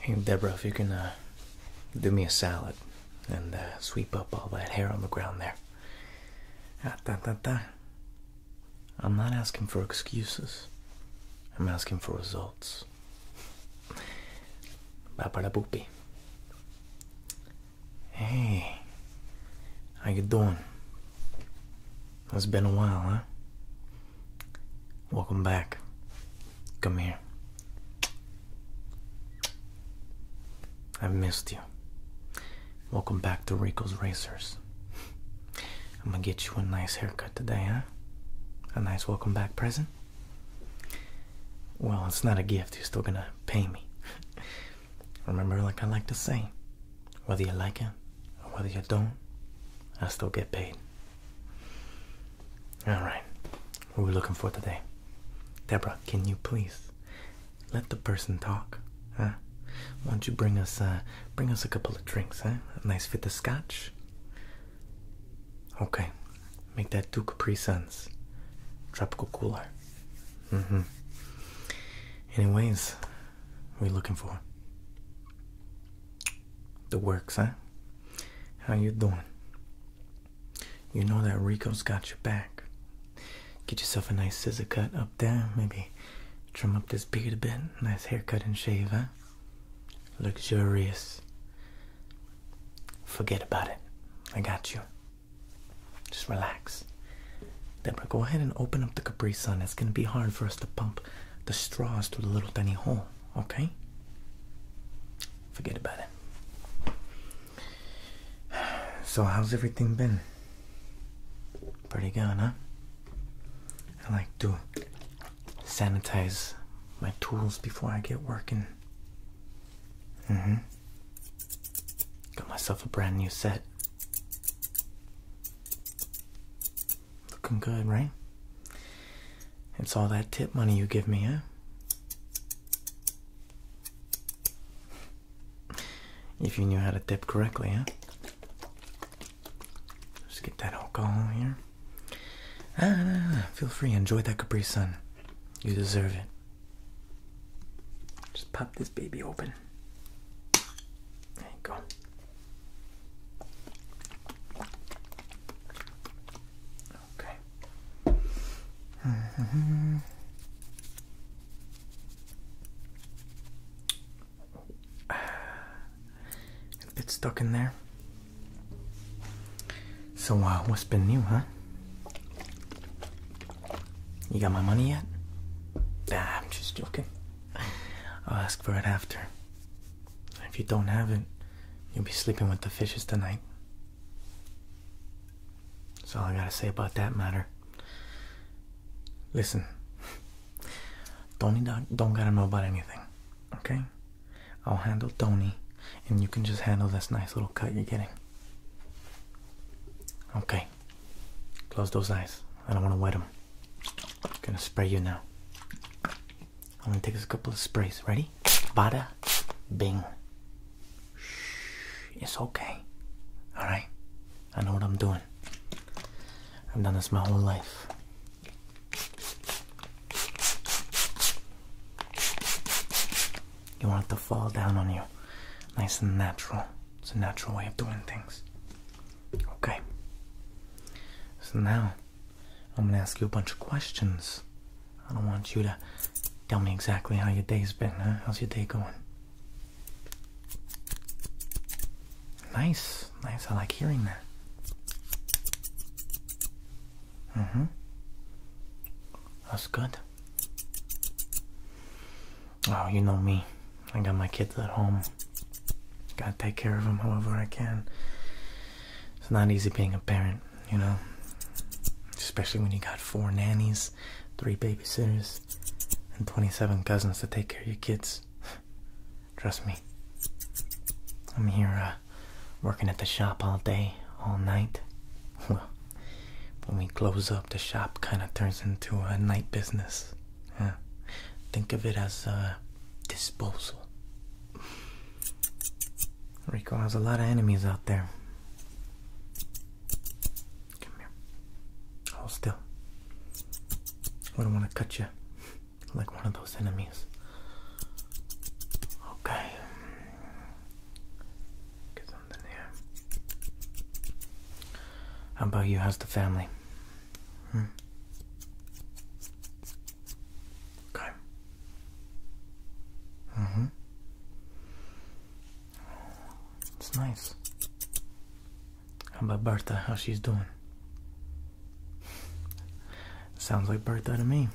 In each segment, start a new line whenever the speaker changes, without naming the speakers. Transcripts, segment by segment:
Hey, Deborah, if you can uh, do me a salad and uh, sweep up all that hair on the ground there. Ah, I'm not asking for excuses. I'm asking for results. Babaraboopy. Hey, how you doing? It's been a while, huh? Welcome back. Come here. I've missed you. Welcome back to Rico's Racers. I'm gonna get you a nice haircut today, huh? A nice welcome back present? Well, it's not a gift. You're still gonna pay me. Remember, like I like to say, whether you like it or whether you don't, I still get paid. All right, what are we looking for today? Deborah, can you please let the person talk? Huh? Why don't you bring us, uh, bring us a couple of drinks? Huh? A nice fit of scotch. Okay, make that two Capri Suns, tropical cooler. Mm-hmm. Anyways, what are we looking for? The works, huh? How you doing? You know that Rico's got your back. Get yourself a nice scissor cut up there, maybe trim up this beard a bit, nice haircut and shave, huh? Luxurious. Forget about it. I got you. Just relax. Then we'll go ahead and open up the Capri Sun. It's gonna be hard for us to pump the straws through the little tiny hole okay? Forget about it. So, how's everything been? Pretty good, huh? I like to sanitize my tools before I get working. Mm hmm. Got myself a brand new set. Looking good, right? It's all that tip money you give me, huh? If you knew how to tip correctly, huh? Just get that alcohol here. Ah, feel free, enjoy that Capri Sun. You deserve it. Just pop this baby open. There you go. Okay. hmm It's stuck in there. So, uh, what's been new, huh? You got my money yet? Ah, I'm just joking. I'll ask for it after. If you don't have it, you'll be sleeping with the fishes tonight. That's all I gotta say about that matter. Listen, Tony don't, don't gotta know about anything, okay? I'll handle Tony, and you can just handle this nice little cut you're getting. Okay, close those eyes. I don't wanna wet them. I'm gonna spray you now. I'm gonna take us a couple of sprays. Ready? Bada, bing. Shh, it's okay. All right. I know what I'm doing. I've done this my whole life. You want it to fall down on you. Nice and natural. It's a natural way of doing things. Okay. So now I'm gonna ask you a bunch of questions. I don't want you to tell me exactly how your day's been, How's your day going? Nice, nice. I like hearing that. Mm hmm. That's good. Oh, you know me. I got my kids at home. Gotta take care of them however I can. It's not easy being a parent, you know? Especially when you got four nannies, three babysitters, and 27 cousins to take care of your kids. Trust me. I'm here uh, working at the shop all day, all night. Well, when we close up, the shop kind of turns into a night business. Think of it as a. Uh, disposal. Rico has a lot of enemies out there. Come here. Hold still. I don't want to cut you like one of those enemies. Okay. Get something here. How about you? How's the family? Okay. Mm-hmm. It's nice. How about Bertha? How she's doing? Sounds like Bertha to me.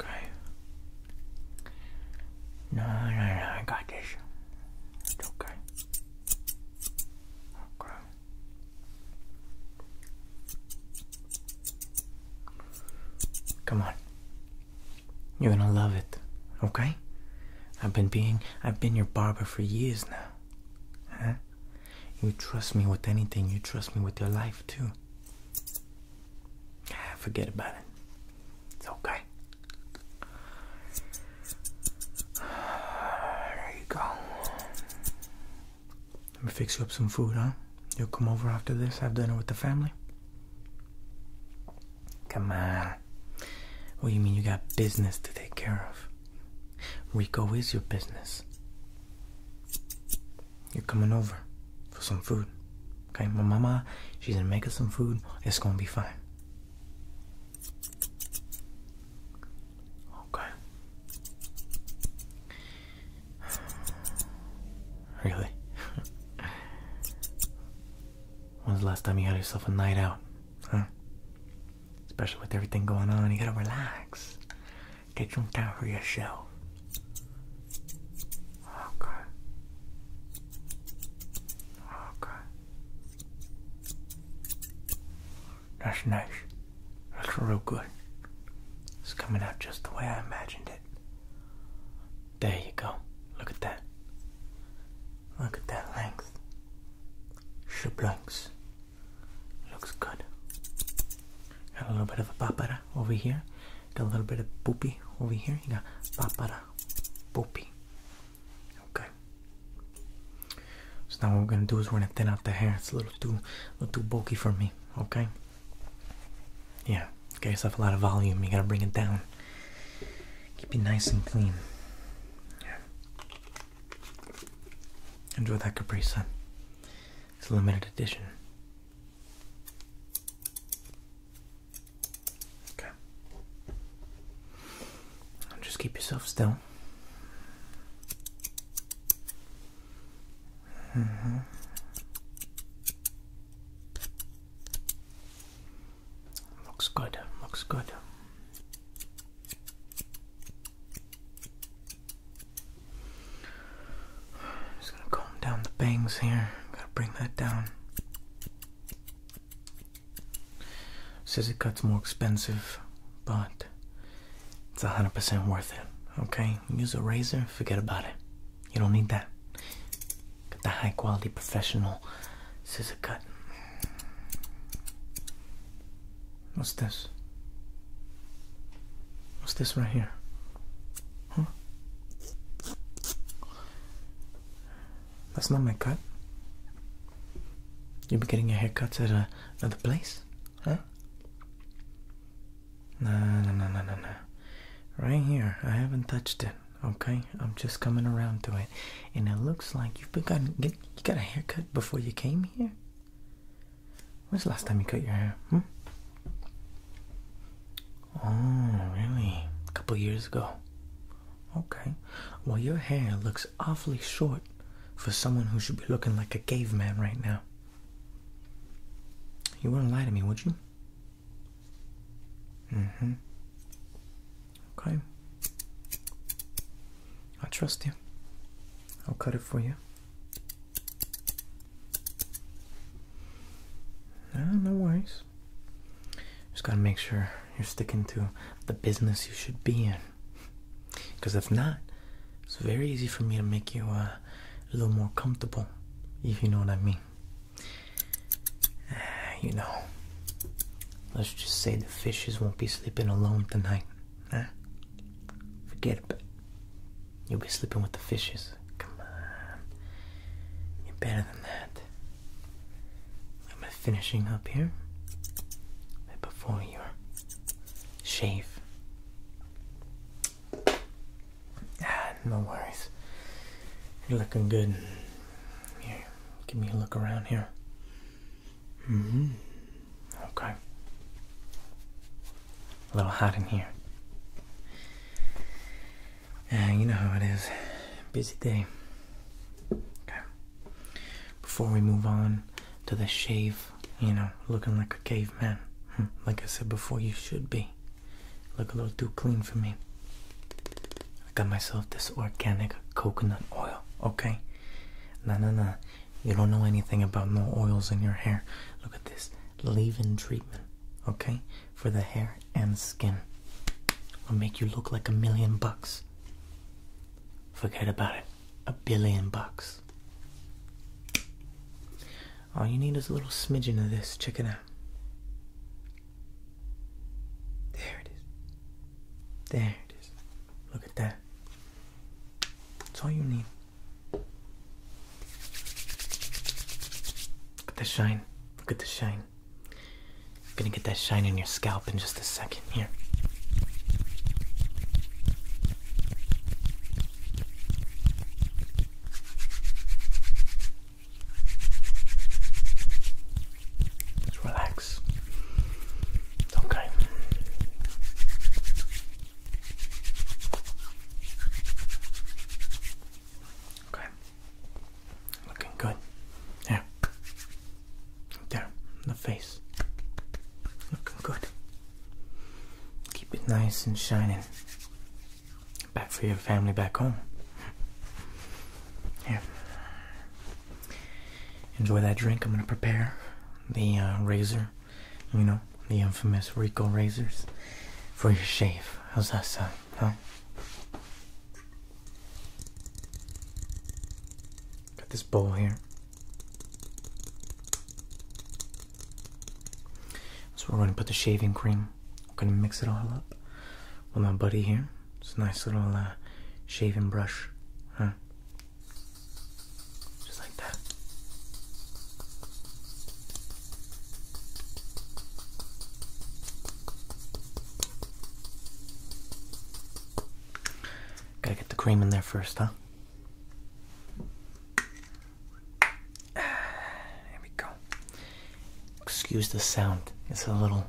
Okay. No, no, no, I got this. It's okay. Okay. Come on. You're gonna love it, okay? I've been being I've been your barber for years now. Huh? You trust me with anything, you trust me with your life too. Forget about it. It's okay. There you go. Let me fix you up some food, huh? You'll come over after this, have dinner with the family? Come on. What do you mean you got business to take care of? Rico is your business. You're coming over for some food. Okay, my mama, she's gonna make us some food. It's gonna be fine. Okay. Really? When's the last time you had yourself a night out? Huh? Especially with everything going on, you gotta relax. Get some time for yourself. Okay. Okay. Nice, nice. Looks real good. It's coming out just the way I imagined it. There you go. Look at that. Look at that length. Shablanks. Looks good. Got a little bit of a pop over here. Got a little bit of boopy over here. You got papara, boopy. Okay. So now what we're gonna do is we're gonna thin out the hair. It's a little too, a little too bulky for me. Okay. Yeah. Get yourself a lot of volume. You gotta bring it down. Keep it nice and clean. Yeah. Enjoy that caprese. It's a limited edition. Okay. just keep yourself still. Mm-hmm. Looks good, looks good. Just gonna calm down the bangs here. Gotta bring that down. Says it cuts more expensive, but it's 100% worth it. Okay? Use a razor, forget about it. You don't need that. Get the high quality professional scissor cut. What's this? What's this right here? Huh? That's not my cut. You've been getting your haircuts at a, uh, another place, huh? No, no, no, no, no, no. Right here, I haven't touched it. Okay, I'm just coming around to it, and it looks like you've been gotten, you got a haircut before you came here. When's the last time you cut your hair? Hmm? Oh, really? A couple years ago. Okay. Well, your hair looks awfully short for someone who should be looking like a caveman right now. You wouldn't lie to me, would you? Mm-hmm. Okay. I trust you. I'll cut it for you. No, ah, no worries. Just gotta make sure you're sticking to the business you should be in. Because if not, it's very easy for me to make you uh, a little more comfortable, if you know what I mean. you know, let's just say the fishes won't be sleeping alone tonight. Huh? Forget it. but You'll be sleeping with the fishes. Come on. You're better than that. I'm finishing up here. before your shave. Ah, no worries. You're looking good. Here, give me a look around here. Mm hmm. Okay. A little hot in here. And you know how it is. Busy day. Okay. Before we move on to the shave, you know, looking like a caveman. Hmm. Like I said before, you should be. Look a little too clean for me. I got myself this organic coconut oil, okay? No, no, no. You don't know anything about no oils in your hair. Look at this leave in treatment, okay? for the hair and skin. Will make you look like a million bucks. Forget about it. A billion bucks. All you need is a little smidgen of this. Check it out. There it is. There it is. Look at that. That's all you need. Look the shine. Look at the shine. I'm gonna get that shine in your scalp in just a second here. relax. okay. Okay. Looking good. There. There. In the face. Looking good. Keep it nice and shining. Back for your family back home. Here. Enjoy that drink. I'm gonna prepare the uh, razor. You know, the infamous Rico razors for your shave. How's that sound? Huh? Got this bowl here. So we're going to put the shaving cream. I'm going to mix it all up with my buddy here. It's a nice little uh, shaving brush. Huh? Just like that. Gotta get the cream in there first, huh? There we go. Excuse the sound. It's a little,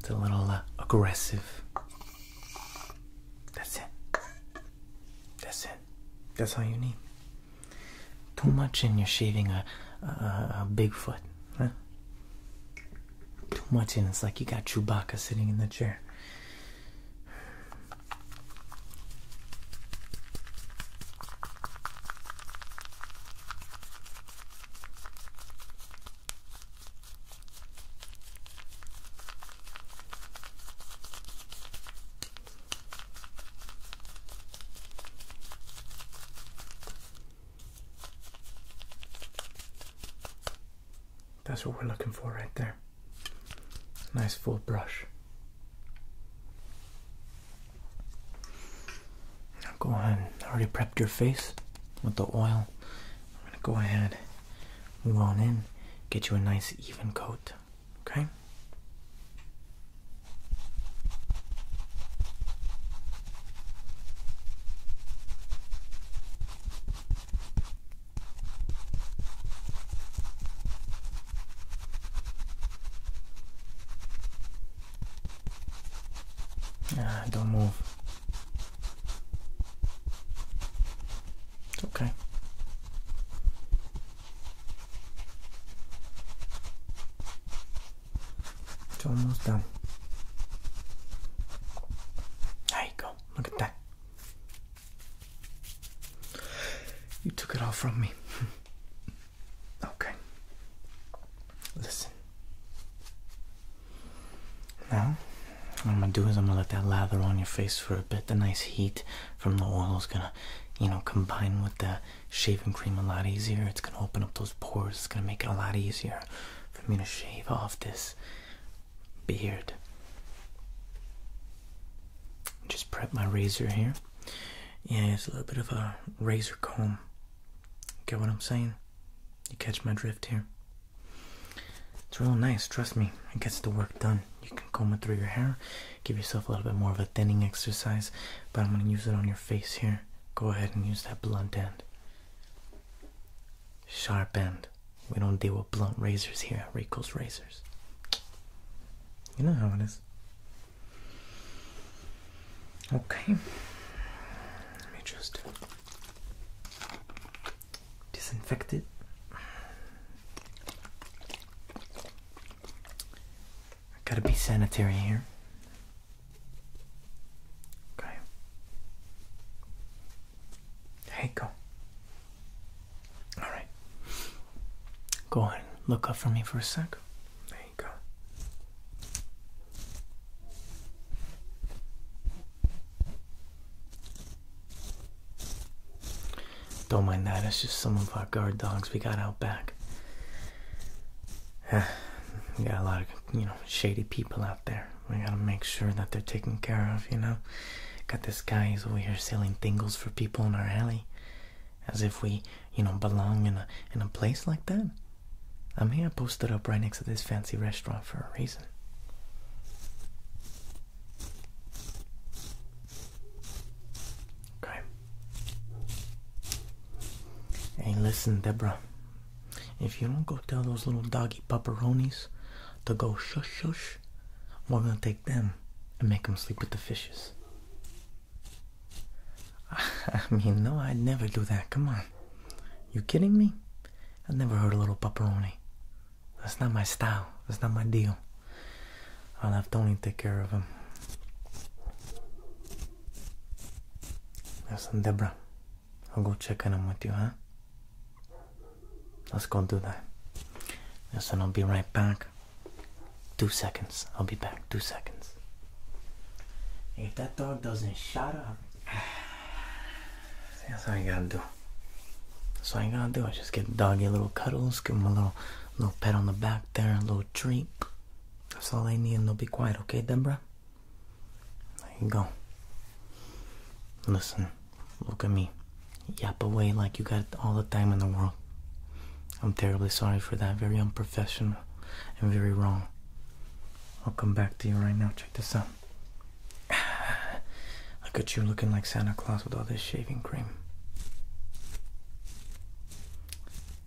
it's a little uh, aggressive. That's it. That's it. That's all you need. Too much, and you're shaving a, a, Bigfoot. Huh? Too much, and it's like you got Chewbacca sitting in the chair. That's what we're looking for right there. Nice full brush. Now go ahead. already prepped your face with the oil. I'm gonna go ahead, move on in, get you a nice even coat. Okay. Ah, don't move. It's okay. It's almost done. There you go. Look at that. You took it all from me. okay. Listen. Now, what I'm gonna do is I'm gonna let that lather on your face for a bit. The nice heat from the oil is gonna, you know, combine with the shaving cream a lot easier. It's gonna open up those pores. It's gonna make it a lot easier for me to shave off this beard. Just prep my razor here. Yeah, it's a little bit of a razor comb. Get what I'm saying? You catch my drift here. It's real nice, trust me. It gets the work done. You can comb it through your hair, give yourself a little bit more of a thinning exercise, but I'm gonna use it on your face here. Go ahead and use that blunt end. Sharp end. We don't deal with blunt razors here at Rico's Razors. You know how it is. Okay. Let me just disinfect it. Gotta be sanitary here. Okay. Hey, go. Alright. Go ahead. Look up for me for a sec. There you go. Don't mind that, it's just some of our guard dogs we got out back. we got a lot of you know shady people out there. We gotta make sure that they're taken care of. You know, got this guy who's over here selling tingles for people in our alley, as if we you know belong in a in a place like that. i mean, I posted up right next to this fancy restaurant for a reason. Okay. Hey, listen, Deborah. If you don't go tell those little doggy pepperonis to go shush shush, I'm gonna take them and make them sleep with the fishes. I mean, no, I'd never do that. Come on. You kidding me? i never hurt a little pepperoni. That's not my style. That's not my deal. I'll have Tony take care of them. Listen, Debra, I'll go check on him with you, huh? Let's go do that. Listen, I'll be right back. Two seconds. I'll be back. Two seconds. If that dog doesn't shut up, that's what I gotta do. That's what I gotta do. I just get doggy little cuddles, give him a little, little pet on the back there, a little treat. That's all I need, and they'll be quiet, okay, Deborah? There you go. Listen, look at me. Yap away like you got all the time in the world. I'm terribly sorry for that. Very unprofessional and very wrong. I'll come back to you right now. Check this out. Look at you looking like Santa Claus with all this shaving cream.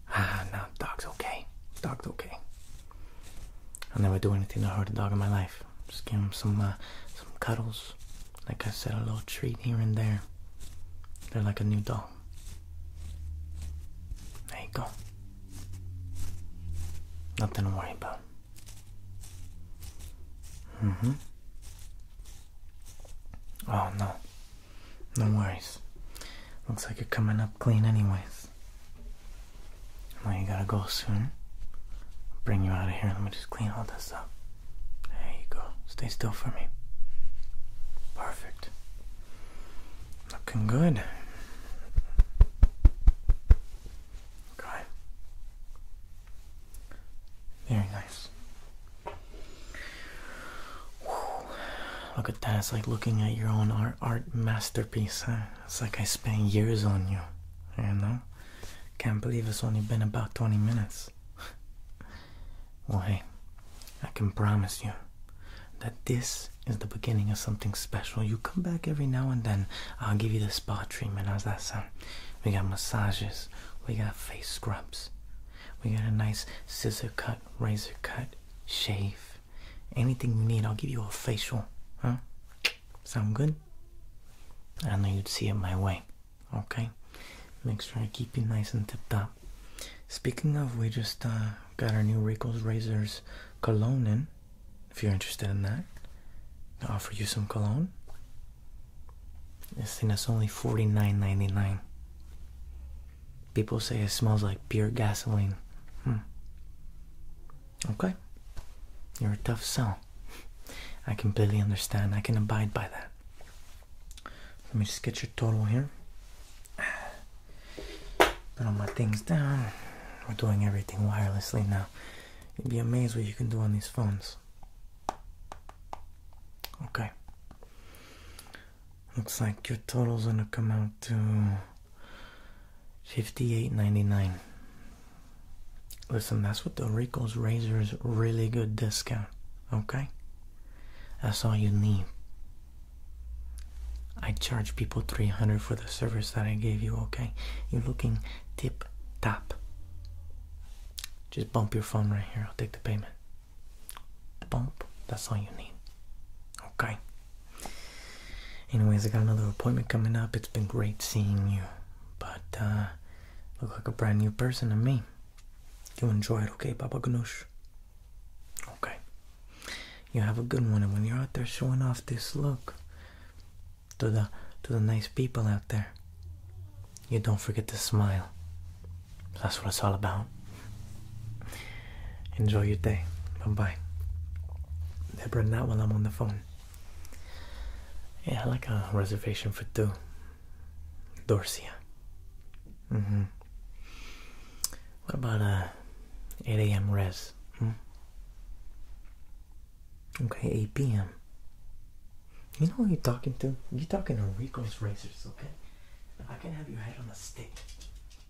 Ah, no, dog's okay. Dog's okay. I'll never do anything to hurt a dog in my life. Just give him some, uh, some cuddles. Like I said, a little treat here and there. They're like a new dog. There you go. Nothing to worry about. Mm-hmm. Oh no. No worries. Looks like you're coming up clean, anyways. Well, you gotta go soon. bring you out of here. Let me just clean all this up. There you go. Stay still for me. Perfect. Looking good. Okay. Very nice. Look at that. It's like looking at your own art, masterpiece. It's like I spent years on you. You know? Can't believe it's only been about 20 minutes. well, hey, I can promise you that this is the beginning of something special. You come back every now and then. I'll give you the spa treatment. How's that sound? We got massages. We got face scrubs. We got a nice scissor cut, razor cut, shave. Anything you need, I'll give you a facial. Huh? Sound good? I know you'd see it my way. Okay? Make sure I keep you nice and tipped up. Speaking of, we just uh, got our new Rico's Razors cologne in. If you're interested in that, to offer you some cologne. This thing is only $49.99. People say it smells like pure gasoline. Hmm. Okay. You're a tough sell. I completely understand. I can abide by that. Let me just get your total here. Put all my things down. We're doing everything wirelessly now. You'd be amazed what you can do on these phones. Okay. Looks like your total's gonna come out to fifty-eight ninety-nine. Listen, that's what the Rico's Razor's really good discount. Okay, that's all you need. I charge people three hundred for the service that I gave you. Okay, you're looking tip top. Just bump your phone right here. I'll take the payment bump. That's all you need. Okay. Anyways, I got another appointment coming up. It's been great seeing you, but uh, look like a brand new person to me. You enjoy it, okay, Baba Ganoush? Okay. You have a good one, and when you're out there showing off this look to the to the nice people out there, you don't forget to smile. That's what it's all about. Enjoy your day. Bye bye. Deborah, that while I'm on the phone. Yeah, I like a reservation for two. Dorsia. Mm hmm. What about uh, a 8 a.m. res? Hmm? Okay, 8 p.m. You know who you're talking to? You're talking to Rico's Racers, okay? I can have your head on a stick.